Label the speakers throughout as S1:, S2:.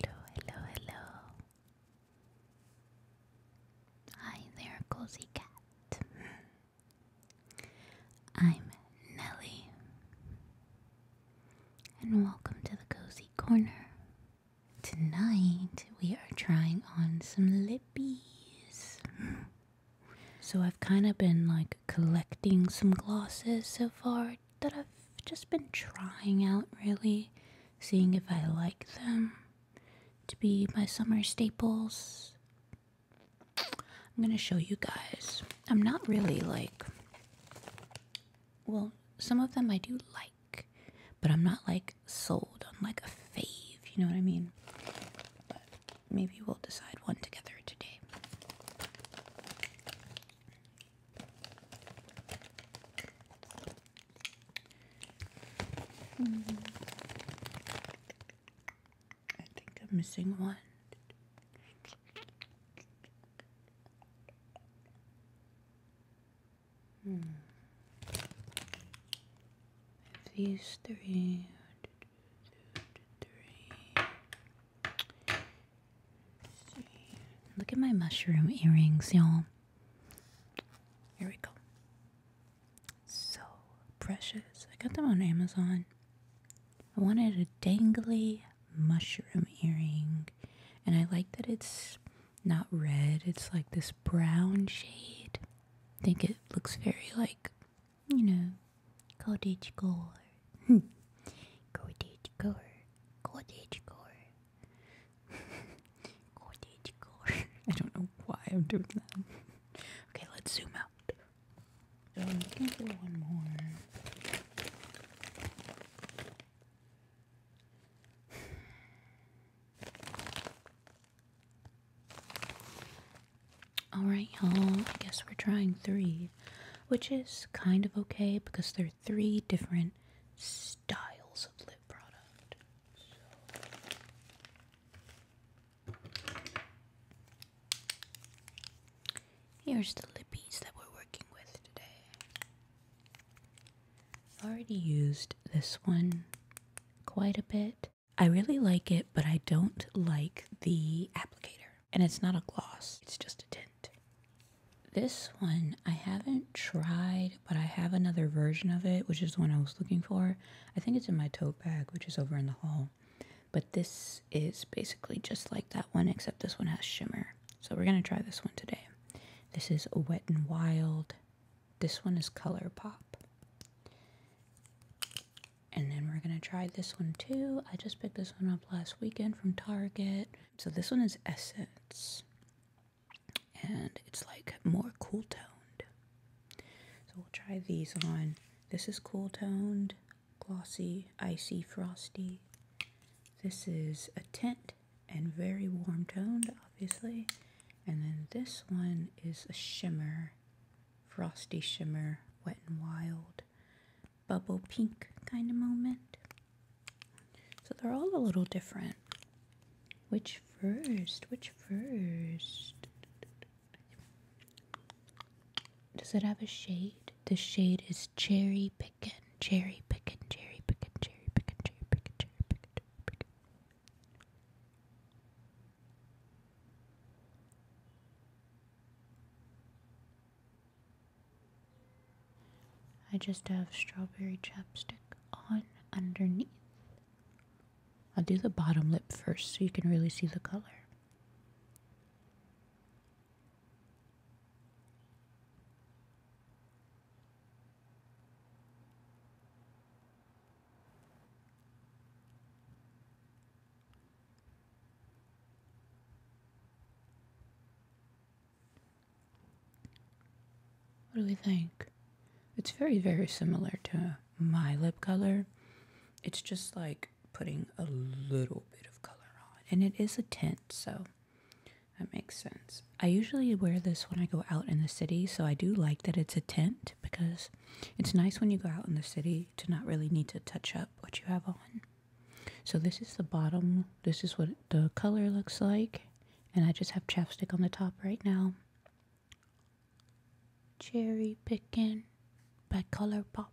S1: Hello, hello, hello. Hi there, cozy cat. Hmm. I'm Nelly and welcome to the Cozy Corner. Tonight we are trying on some lippies. So I've kind of been like collecting some glosses so far that I've just been trying out really, seeing if I like them to be my summer staples. I'm gonna show you guys. I'm not really like well, some of them I do like, but I'm not like sold on like a fave, you know what I mean? But maybe we'll decide one together today. Hmm. I think I'm missing one. Hmm. these three, three, three. Look at my mushroom earrings, y'all. Here we go. So precious. I got them on Amazon. I wanted a dangly mushroom earring, and I like that it's not red, it's like this brown shade. I think it looks very like, you know, cottage core. Hmm. cottage core. Cottage core. cottage core. I don't know why I'm doing that. okay, let's zoom out. So I'm gonna one more. Alright, y'all, I guess we're trying three, which is kind of okay because there are three different styles of lip product. Here's the lippies that we're working with today. I've already used this one quite a bit. I really like it, but I don't like the applicator. And it's not a gloss, it's just a tint. This one I haven't tried, but I have another version of it, which is the one I was looking for. I think it's in my tote bag, which is over in the hall. But this is basically just like that one, except this one has shimmer. So we're going to try this one today. This is Wet and Wild. This one is Color Pop. And then we're going to try this one too. I just picked this one up last weekend from Target. So this one is Essence. And it's like more cool toned. So we'll try these on. This is cool toned glossy, icy, frosty. This is a tint and very warm toned, obviously. And then this one is a shimmer, frosty shimmer, wet and wild, bubble pink kind of moment. So they're all a little different. Which first? Which first? Does it have a shade? The shade is cherry pickin', cherry pickin', cherry pickin', cherry pickin', cherry pickin', cherry pickin', cherry pickin'. I just have strawberry chapstick on underneath. I'll do the bottom lip first so you can really see the color. What do we think? It's very, very similar to my lip color. It's just like putting a little bit of color on. And it is a tint, so that makes sense. I usually wear this when I go out in the city, so I do like that it's a tent because it's nice when you go out in the city to not really need to touch up what you have on. So this is the bottom. This is what the color looks like. And I just have chapstick on the top right now. Cherry picking by Color Pop.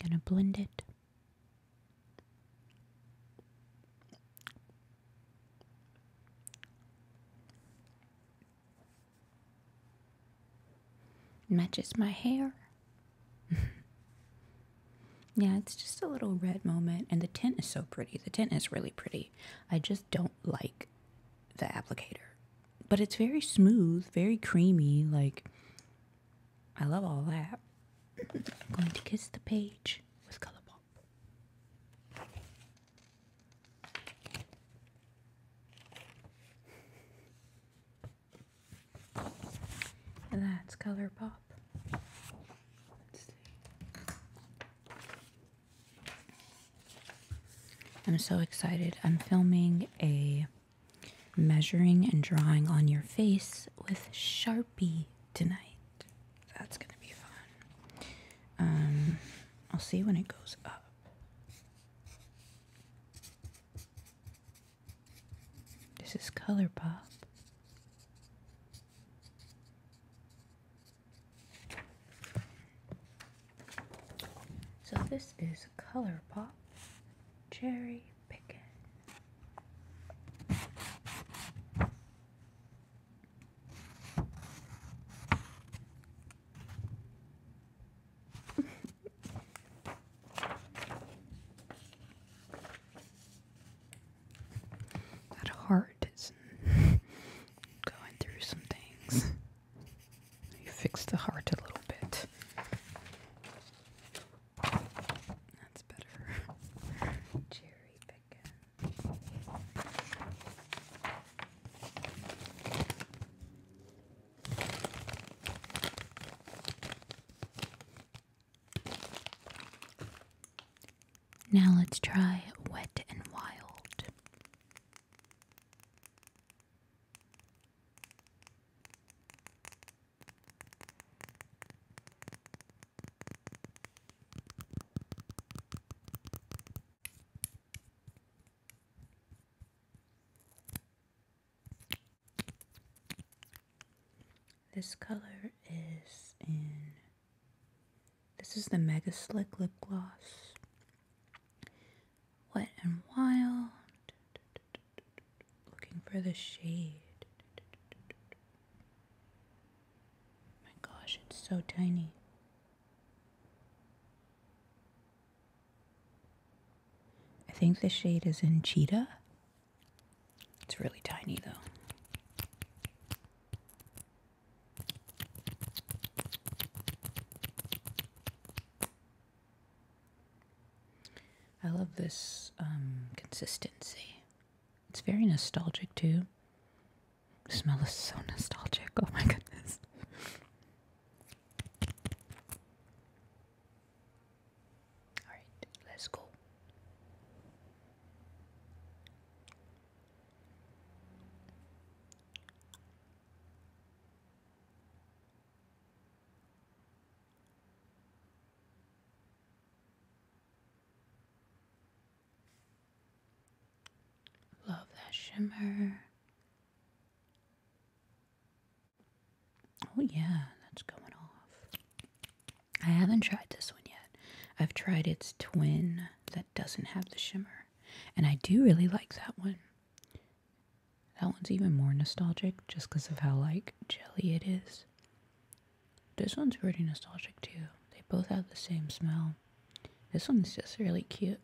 S1: Gonna blend it. Matches my hair. yeah, it's just a little red moment. And the tint is so pretty. The tint is really pretty. I just don't like the applicator. But it's very smooth, very creamy. Like, I love all that. I'm going to kiss the page with Colour Pop. And that's Colour Pop. I'm so excited. I'm filming a measuring and drawing on your face with Sharpie tonight. That's going to be fun. Um, I'll see when it goes up. This is ColourPop. So this is ColourPop Cherry that heart is going through some things. You fix the heart a little bit. That's better. Cherry picking. Now let's try wet and wild. This color is in. This is the Mega Slick Lip Gloss. Wet and Wild looking for the shade. My gosh, it's so tiny. I think the shade is in Cheetah. It's really tiny though. I love this um, consistency. It's very nostalgic too. The smell is so nostalgic. Oh my goodness. Alright, let's go. Love that shimmer. Oh, yeah, that's going off. I haven't tried this one yet. I've tried its twin that doesn't have the shimmer, and I do really like that one. That one's even more nostalgic just because of how, like, jelly it is. This one's pretty nostalgic too. They both have the same smell. This one's just really cute.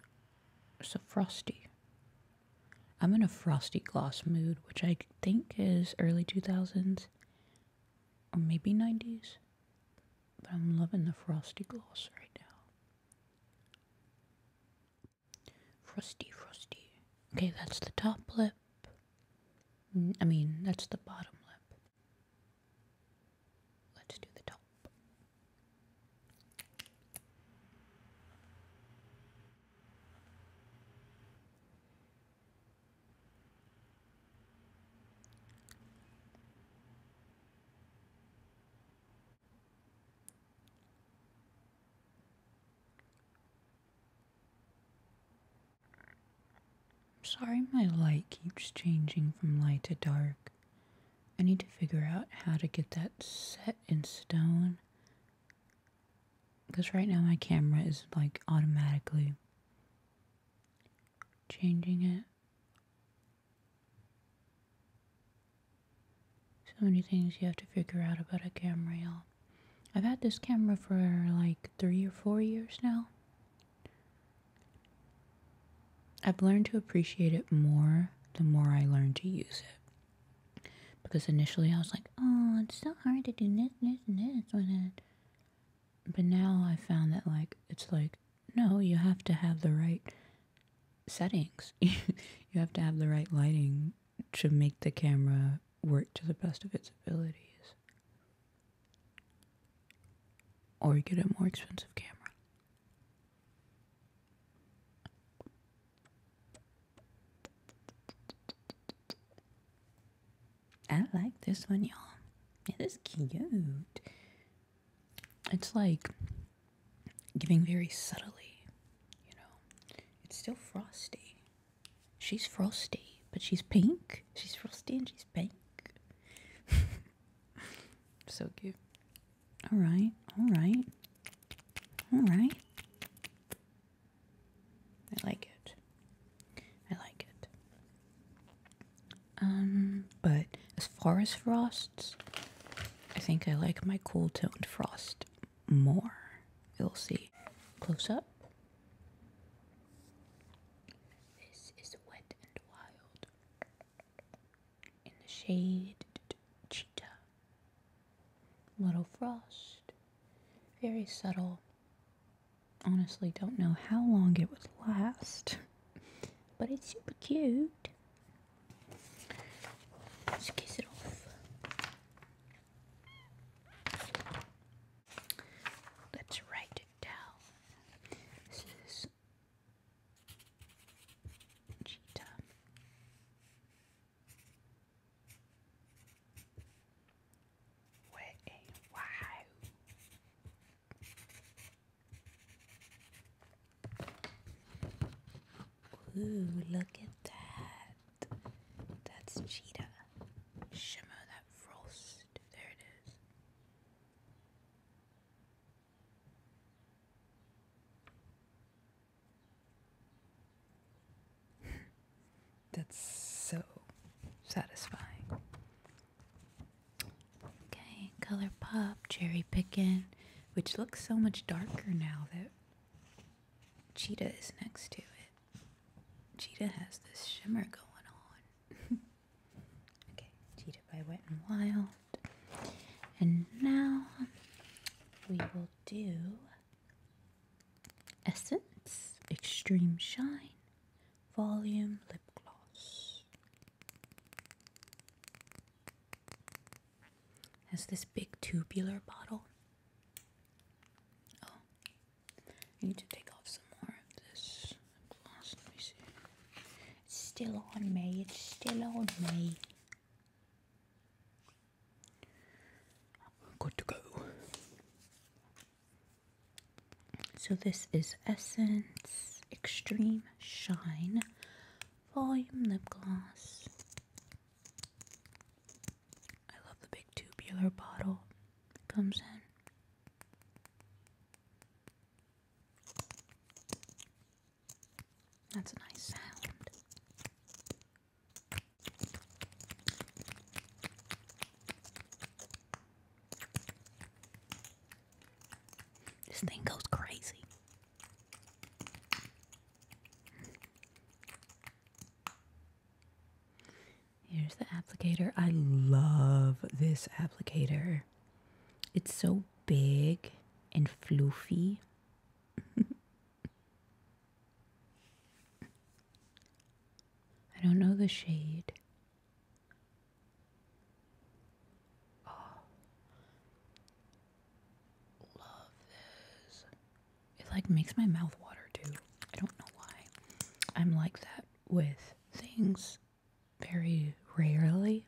S1: It's a frosty. I'm in a frosty gloss mood, which I think is early 2000s or maybe 90s. But I'm loving the frosty gloss right now. Frosty, frosty. Okay, that's the top lip. Mm, I mean, that's the bottom lip. Let's do the top. I'm sorry my light keeps changing from light to dark. I need to figure out how to get that set in stone. Because right now my camera is like automatically changing it. So many things you have to figure out about a camera, you I've had this camera for like three or four years now. I've learned to appreciate it more the more I learn to use it. Because initially I was like, oh, it's so hard to do this, this, and this when it. But now I found that, like, it's like, no, you have to have the right settings. you have to have the right lighting to make the camera work to the best of its abilities or get a more expensive camera. I like this one, y'all. It is cute. It's like giving very subtly, you know. It's still frosty. She's frosty, but she's pink. She's frosty and she's pink. so cute. All right, all right, all right. I like it. I like it. Um, but as far as frosts, I think I like my cool toned frost more. You'll see. Close up. This is Wet and Wild. In the shade, cheetah. Little frost. Very subtle. Honestly, don't know how long it would last, but it's super cute. Let's kiss it off. That's right, write This is cheetah. Way, wow. Ooh, look at that. That's cheetah. Shimmer that frost. There it is. That's so satisfying. Okay, Color Pop, Cherry Pickin', which looks so much darker now that Cheetah is next to it. Cheetah has this shimmer going on. okay, Cheetah by Wet and Wild. And now we will do Essence Extreme Shine Volume Lip Gloss. Has this big tubular bottle Oh, I need to take off some more of this gloss. Let me see. It's still on me. It's still on me. Good to go. So this is Essence Extreme Shine Volume Lip Gloss. I love the big tubular bottle comes in. That's a nice sound. This thing goes crazy. Here's the applicator. I love this applicator. It's so big and floofy. I don't know the shade. Oh, love this. It like makes my mouth water too. I don't know why. I'm like that with things very rarely,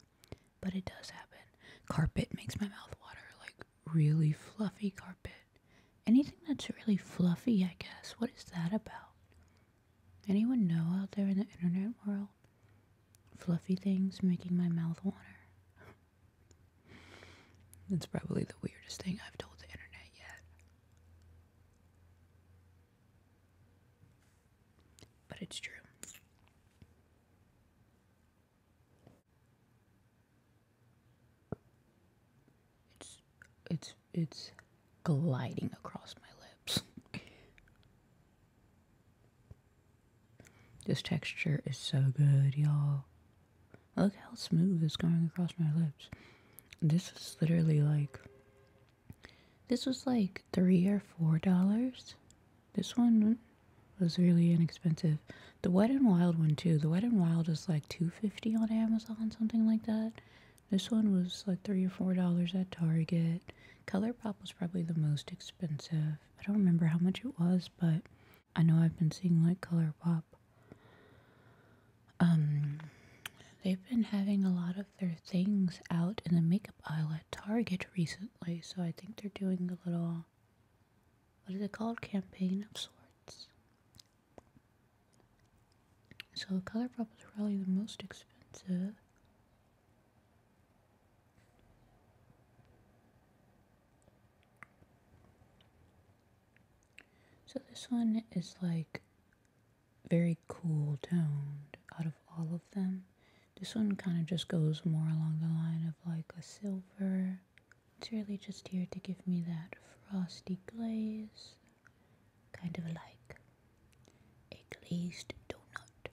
S1: but it does happen. Carpet makes my mouth water, like really fluffy carpet. Anything that's really fluffy, I guess. What is that about? Anyone know out there in the internet world? Fluffy things making my mouth water. That's probably the weirdest thing I've told the internet yet. But it's true. It's it's it's gliding across my lips. This texture is so good, y'all. Look how smooth it's going across my lips. This is literally like. This was like three or four dollars. This one was really inexpensive. The Wet and Wild one too. The Wet and Wild is like two fifty on Amazon, something like that. This one was like three or four dollars at Target. Color Pop was probably the most expensive. I don't remember how much it was, but I know I've been seeing like Color Pop. Um, they've been having a lot of their things out in the makeup aisle at Target recently, so I think they're doing a little, what is it called, campaign of sorts. So ColourPop is probably the most expensive. So this one is like very cool toned out of all of them. This one kind of just goes more along the line of like a silver. It's really just here to give me that frosty glaze, kind of like a glazed donut.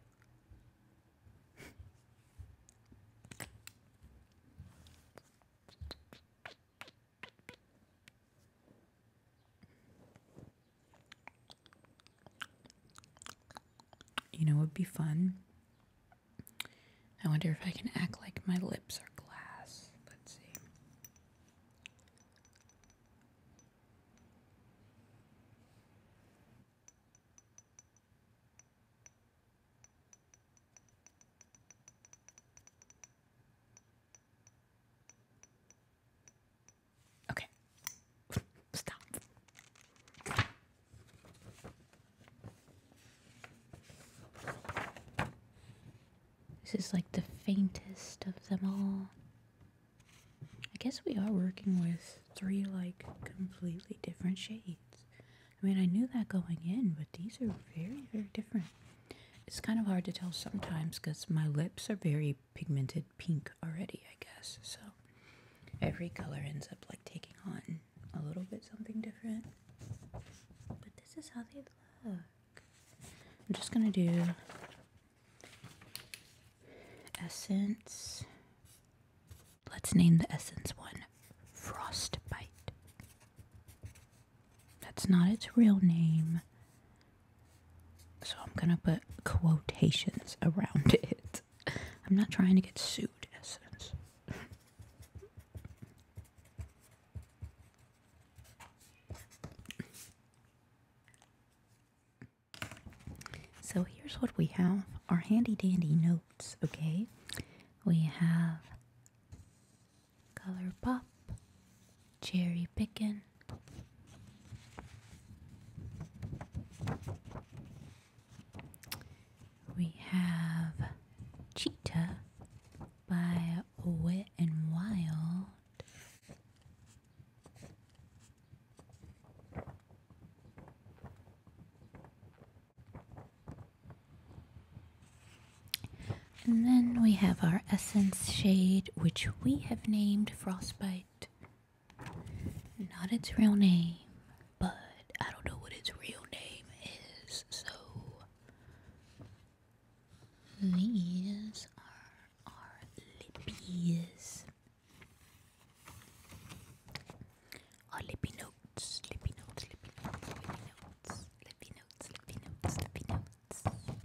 S1: You know, it would be fun. I wonder if I can act like my lips are glass. Let's see. Okay. Stop. This is like the faintest of them all. I guess we are working with three like completely different shades. I mean, I knew that going in, but these are very, very different. It's kind of hard to tell sometimes because my lips are very pigmented pink already, I guess. So every color ends up like taking on a little bit something different. But this is how they look. I'm just going to do essence. Let's name the essence one. Frostbite. That's not its real name. So I'm gonna put quotations around it. I'm not trying to get sued, Essence. So here's what we have our handy dandy notes, okay? We have Color Pop, Cherry Pickin', we have Cheetah by Wet and Wild. And then we have our Essence shade, which we have named Frostbite. Not its real name, but I don't know what its real name is, so these are our lippies or oh, lippy notes, lippy notes, lippy notes, lippy notes, lippy notes, lippy notes, lippy notes.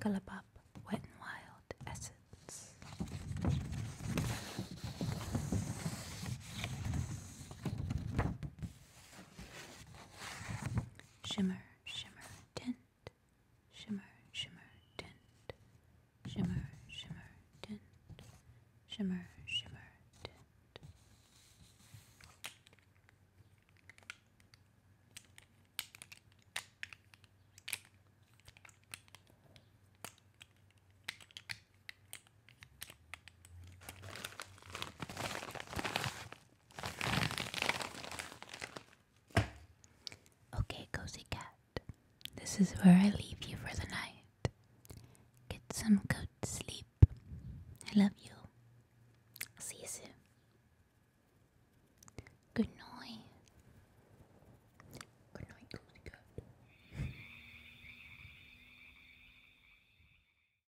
S1: Gullabop, wet and wild essence. Shimmer, shimmer, tint. Shimmer, shimmer, tint. Shimmer, shimmer, tint. Shimmer, shimmer, tint. Okay, cozy cat, this is where I leave you for the night. Get some good sleep. I love you. see you soon. Good night. Good night, cozy cat.